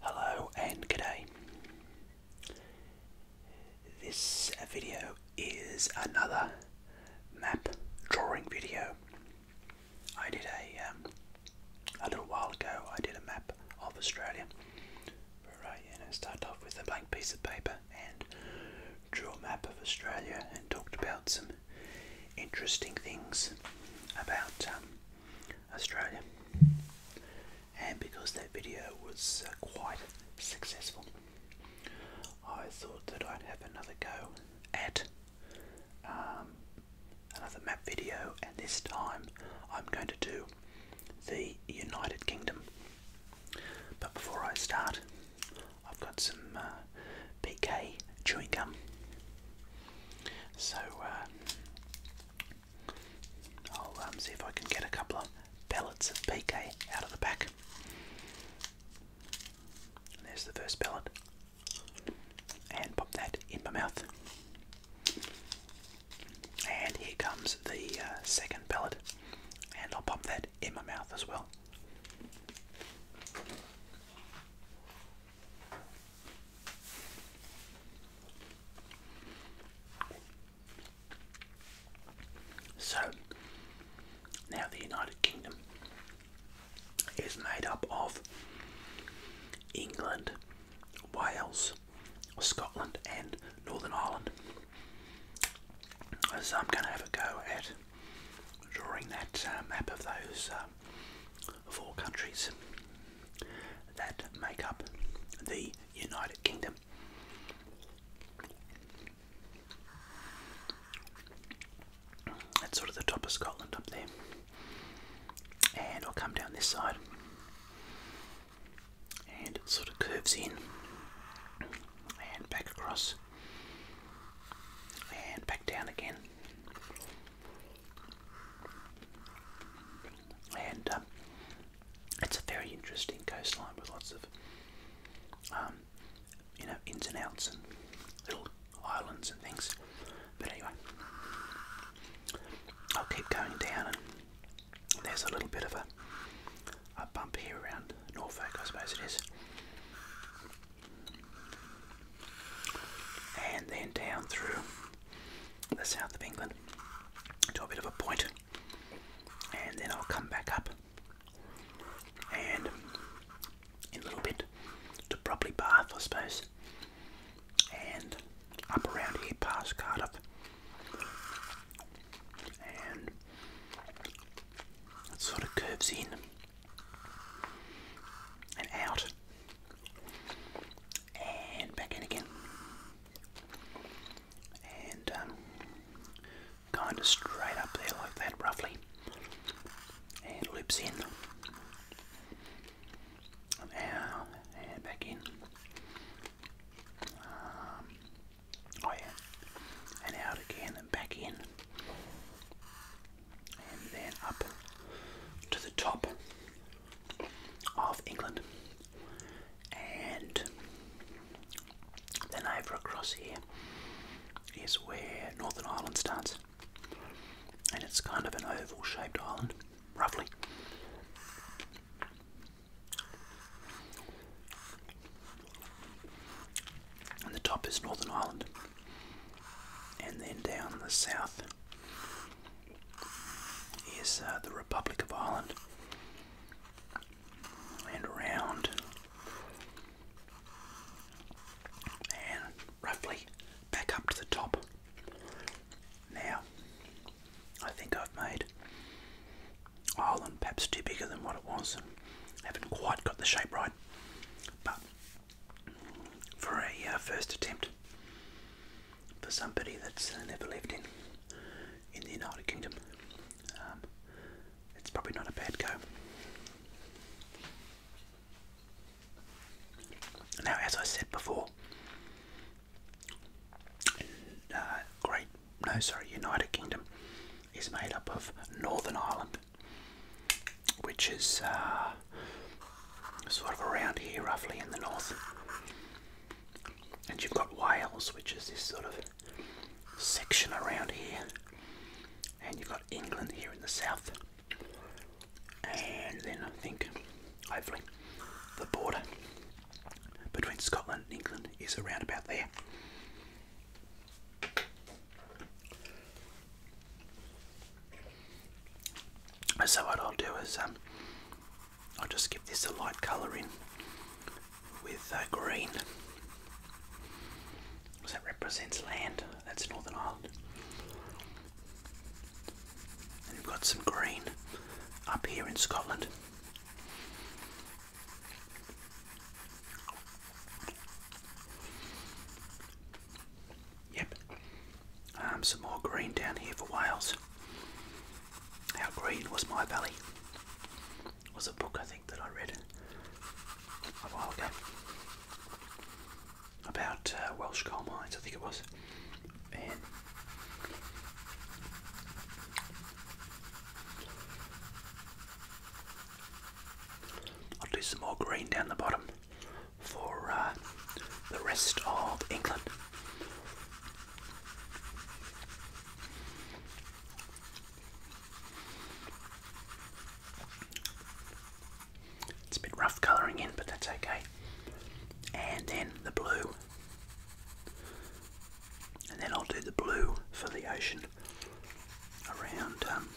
Hello and good day. This video is another map drawing video. I did a um, a little while ago. I did a map of Australia, where I you know started off with a blank piece of paper and drew a map of Australia and talked about some interesting things about um, Australia, and because that video was uh, quite successful, I thought that I'd have another go at um, another map video, and this time I'm going to do the United Kingdom. But before I start, I've got some BK uh, chewing gum. So uh, I'll um, see if I can get a couple of pellets of PK out of the pack. there's the first pellet, and pop that in my mouth. And here comes the uh, second pellet, and I'll pop that in my mouth as well. So, now the United Kingdom is made up of England, Wales, Scotland, and Northern Ireland. So, I'm going to have a go at drawing that uh, map of those um, of all countries that make up the United Kingdom. That's sort of the top of Scotland up there. And I'll come down this side and it sort of curves in and back across and back down again and um, it's a very interesting coastline with lots of, um, you know, ins and outs and little islands and things. But anyway, I'll keep going down, and there's a little bit of a, a bump here around Norfolk, I suppose it is and then down through the south of England to a bit of a point, and then I'll come back up and in a little bit to probably Bath, I suppose, and up around here past Cardiff, and sort of curves in and out and back in again and um, kind of straight up there like that roughly and loops in and out and back in um, oh yeah and out again and back in and then up to the top of England, and then over across here is where Northern Ireland starts, and it's kind of an oval shaped island, roughly. And the top is Northern Ireland. And then down the south is uh, the Republic of Ireland. And around and roughly back up to the top. Now, I think I've made Ireland perhaps too bigger than what it was and haven't quite got the shape right. But for a uh, first attempt for somebody that's uh, never lived in in the United Kingdom. Um, it's probably not a bad go. Now, as I said before, uh, Great, no, sorry, United Kingdom is made up of Northern Ireland which is uh, sort of around here, roughly in the north. And you've got Wales, which is this sort of section around here. And you've got England here in the south. And then I think, hopefully, the border between Scotland and England is around about there. So what I'll do is um, I'll just give this a light colour in with uh, green. So that represents land. That's Northern Ireland. we've got some green up here in Scotland. Yep. Um, some more green down here for Wales. How green was my valley? was a book I think that I read a while ago about uh, Welsh coal mines, I think it was. I'll do some more green down the bottom for uh, the rest of England. It's a bit rough colouring in, but that's okay. And then the blue. And then I'll do the blue for the ocean around um,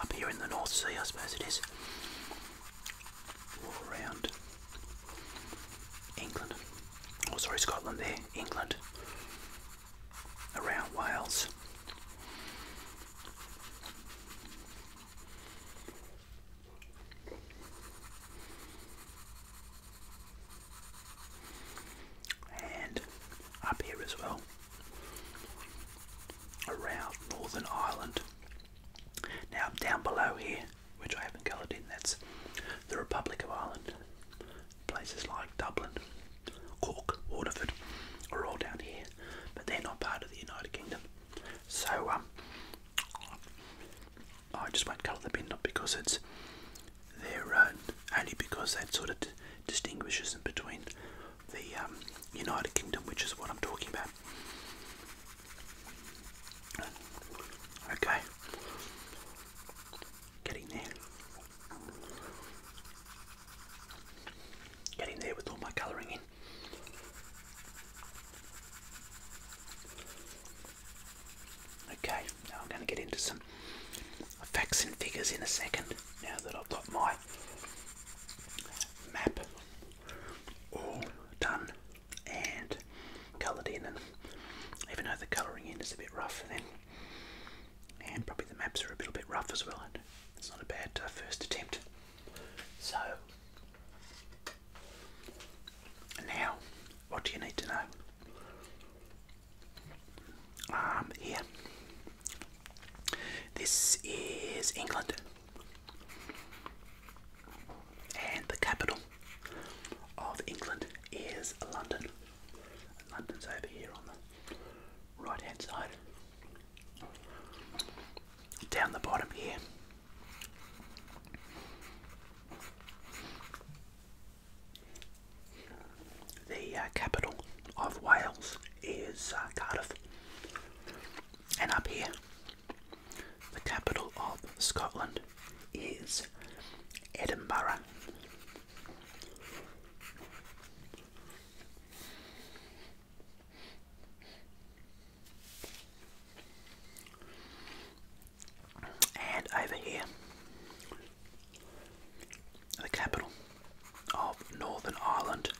up here in the North Sea, I suppose it is. Or around England. Oh, sorry, Scotland there. England. Around Wales. And up here as well around Northern Ireland. Now, down below here, which I haven't coloured in, that's the Republic of Ireland. Places like Dublin, Cork, Waterford are all down here, but they're not part of the United Kingdom. So, um, I just won't colour them in, not because it's their own, only because that sort of distinguishes them between the um, United Kingdom, which is what I'm talking about. Okay, getting there. Getting there with all my colouring in. Okay, now I'm going to get into some facts and figures in a second now that I've got my map all done and coloured in even though the colouring in is a bit rough then and probably the maps are a little bit rough as well it's not a bad uh, first attempt so now what do you need to know um here this is England and the capital of England is London. London's over here on the right hand side. Down the bottom here. The uh, capital of Wales is uh, Cardiff, and up here, the capital of Scotland is Edinburgh. And over here the capital of Northern Ireland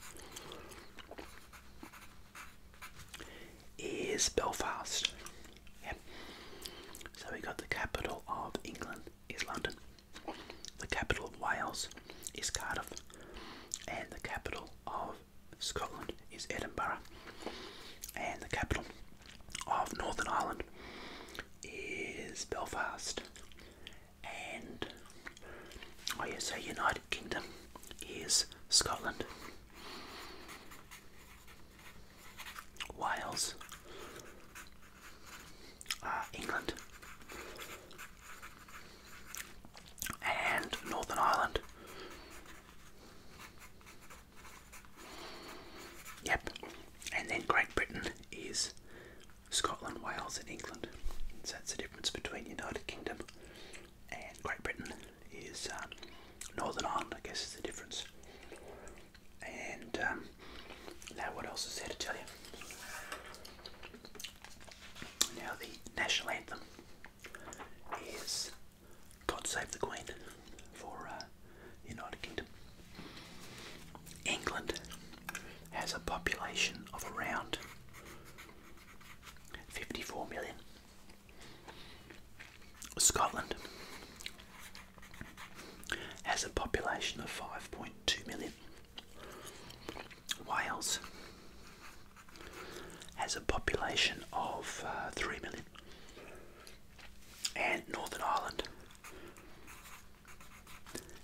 is Belfast. So we got the capital of England is London, the capital of Wales is Cardiff, and the capital of Scotland is Edinburgh, and the capital of Northern Ireland is Belfast and oh yeah, so United Kingdom is Scotland, Wales, uh, England, and Northern Ireland. Yep, and then Great Britain is Scotland, Wales, and England. So that's the difference between United Kingdom and Great Britain is um, Northern Ireland, I guess, is the difference. And um, now, what else is there to tell you? Now, the national anthem is God Save the Queen for uh, United Kingdom. England has a population of around 54 million. Scotland has a population of 5.2 million. Wales has a population of uh, 3 million. And Northern Ireland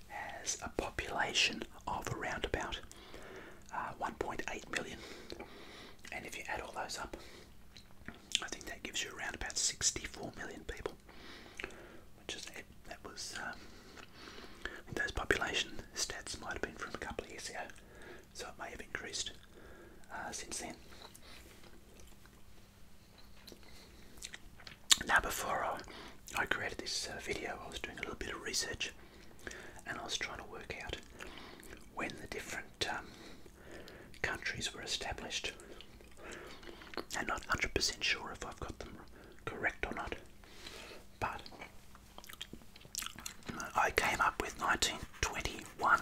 has a population of around about uh, 1.8 million, and if you add all those up, I think that gives you around about 64 million people, which is That was um, those population stats might have been from a couple of years ago, so it may have increased uh, since then. Now, before I, created this uh, video, I was doing a little bit of research and I was trying to work out when the different um, countries were established. I'm not 100% sure if I've got them correct or not, but I came up with 1921 or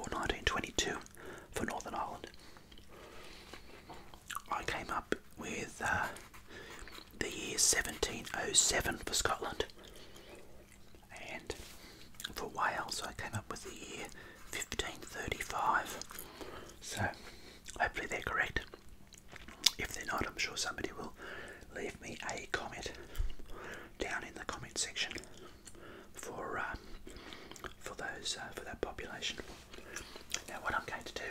1922 for Northern Ireland. I came up with uh, the year 1707 for Scotland, and for Wales, I came up with the year 1535. So, hopefully, they're correct. If they're not, I'm sure somebody will leave me a comment down in the comment section for um, for those uh, for that population. Now, what I'm going to do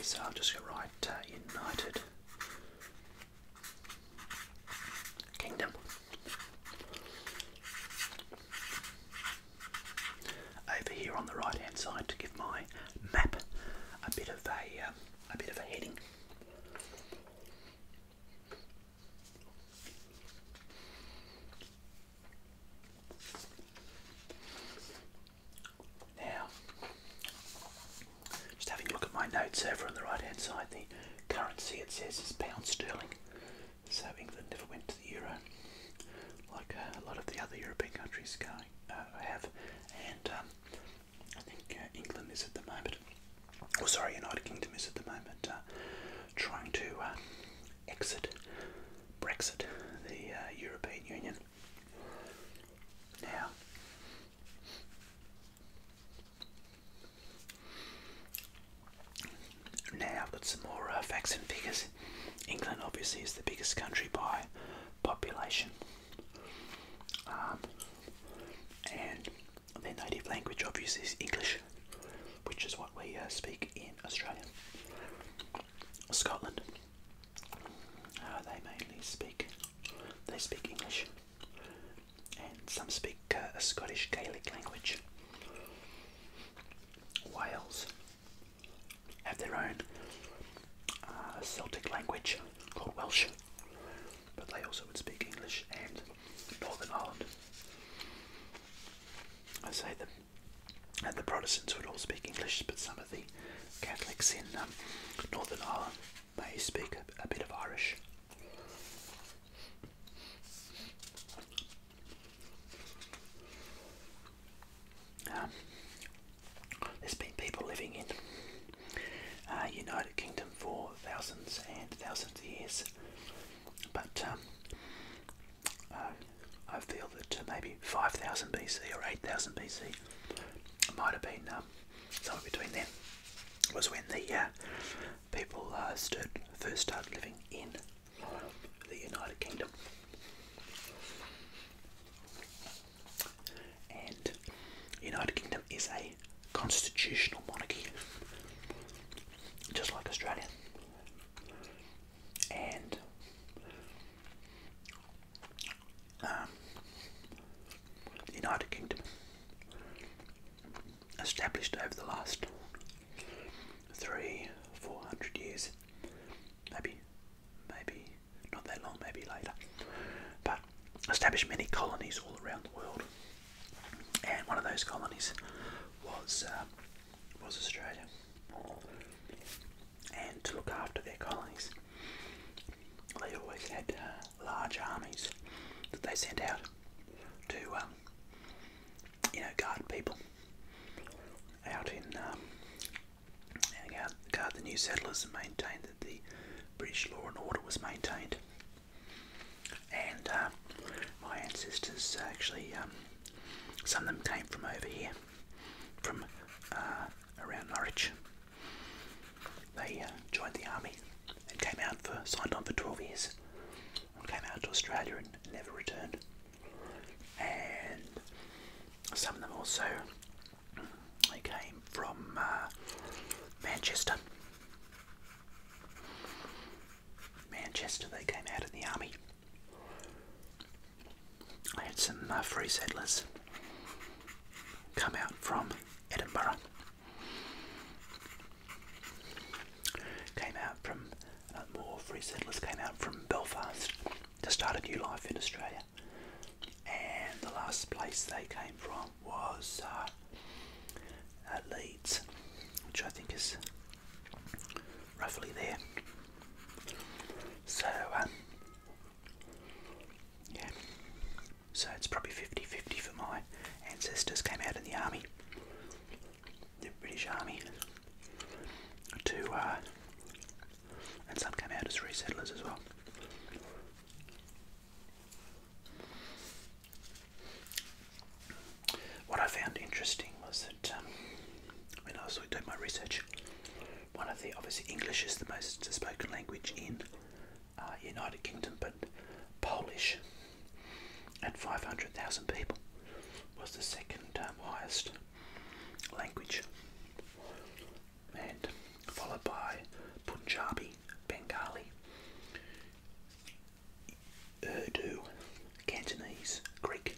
is I'll just write uh, United Kingdom. Over here on the right-hand side to give my map a bit of a um, a bit of a heading. Now, just having a look at my notes over on the right hand side, the currency it says is pound sterling. So England never went to the euro, like uh, a lot of the other European countries going, uh, have. And um, I think uh, England is at the moment, oh, sorry, United Kingdom is at the moment uh, trying to exit Brexit, the uh, European Union. Now, now I've got some more uh, facts and figures. England obviously is the biggest country by population, um, and their native language obviously is English which is what we uh, speak in Australia. Scotland, uh, they mainly speak they speak English, and some speak uh, a Scottish Gaelic language. Wales have their own Celtic language called Welsh, but they also would speak English and Northern Ireland. I say that and the Protestants would all speak English, but some of the Catholics in um, Northern Ireland may speak a, bit of Irish. Um, there's been people living in uh, United Kingdom for thousands and thousands of years, but um, uh, I feel that uh, maybe 5000 BC or 8000 BC might have been um, somewhere between them was when the uh, people uh, first started living in the United Kingdom. And United Kingdom is a constitutional monarchy, just like Australia and um, the United Kingdom, established over the last three, four hundred years, maybe, maybe not that long, maybe later, but established many colonies all around the world and one of those colonies was uh, was Australia. And to look after their colonies, they always had uh, large armies that they sent out to, um, you know, guard people out in um, guard the new settlers and maintain that the British law and order was maintained. And uh, my ancestors actually, um, some of them came from over here, from uh, around Norwich. They uh, joined the army and came out for, signed on for 12 years, and came out to Australia and never returned. And some of them also, they came from Manchester. Manchester they came out in the army. I had some uh, free settlers come out from Edinburgh. Came out from, uh, more free settlers came out from Belfast to start a new life in Australia. And the last place they came from was uh, at Leeds, which I think is roughly there. So, um, yeah, so it's probably 50 50 for my ancestors came out in the army, the British Army, to, uh, and some came out as resettlers as well. What I found interesting was that um, when I was doing my research, one of the obviously English is the most spoken language in uh, United Kingdom, but Polish at 500,000 people was the second um, highest language, and followed by Punjabi, Bengali, Urdu, Cantonese, Greek,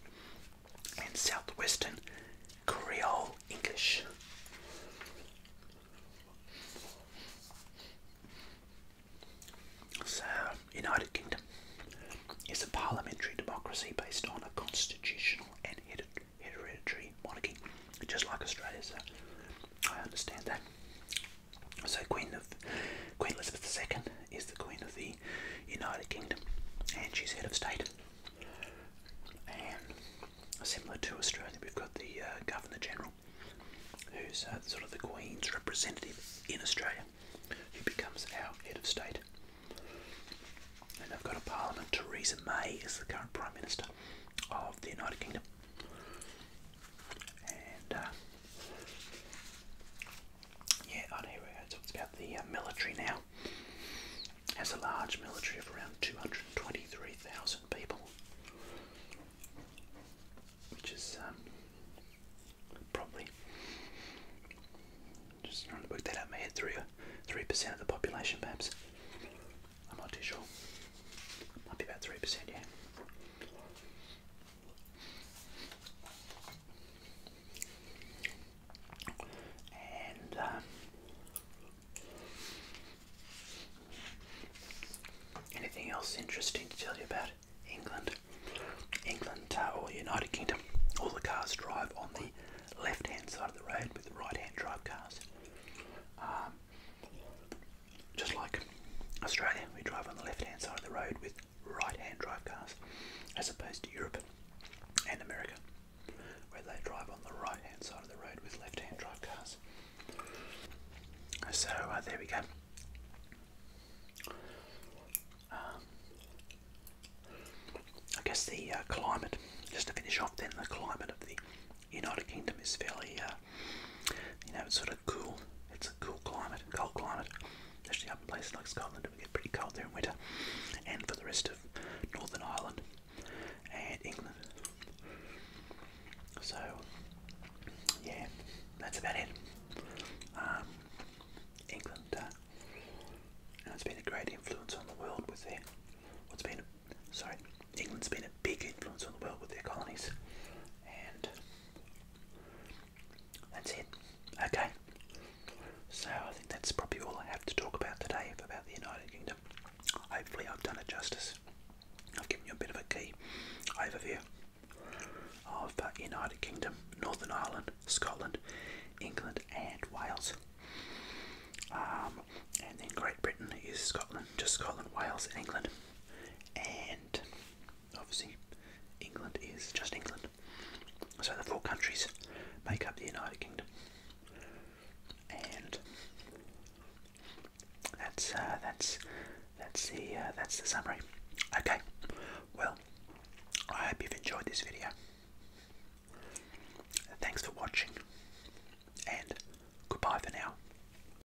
and southwestern Creole English. So, United Kingdom is a parliamentary democracy based on a constitutional and hereditary monarchy, just like Australia. So, I understand that. So Queen of Queen Elizabeth II is the Queen of the United Kingdom, and she's head of state. And similar to Australia, we've got the uh, Governor General, who's uh, sort of the Queen's representative in Australia, He becomes our head of state. And I've got a Parliament. Theresa May is the current Prime Minister of the United Kingdom. And uh, yeah, oh, here we go. It talks about the uh, military now. Has a large military of around 223,000 people, which is um, probably just trying to work that out in my head. Three, three percent of the population, perhaps. I'm not too sure. Might be about three percent, yeah. Um, anything else interesting to tell you about England? England uh, or United Kingdom, all the cars drive on the left hand side of the road with the right hand drive cars. Um, just like Australia, we drive on the left hand side of the road with right hand drive cars, as opposed to Europe and America, where they drive on the right hand side of the road with left hand drive cars. So uh, there we go. Um, I guess the uh, climate, just to finish off, then the climate of the United Kingdom is fairly uh, you know, it's sort of cool. It's a cool climate, cold climate, especially up in places like Scotland. It would get pretty cold there in winter, and for the rest of Northern Ireland and England. So, yeah, that's about it. Um, England uh, has been a great influence on the world with their what's been sorry, England's been a big influence on the world with their colonies, and that's it. Okay. So I think that's probably all I have to talk about today about the United Kingdom. Hopefully I've done it justice. I've given you a bit of a key overview of United Kingdom, Northern Ireland, Scotland, England and Wales. Um, and then Great Britain is Scotland, just Scotland, Wales and England. And obviously England is just England. So the four countries make up the United Kingdom, and that's uh, that's that's the uh, that's the summary. Okay, well, I hope you've enjoyed this video. Thanks for watching, and goodbye for now.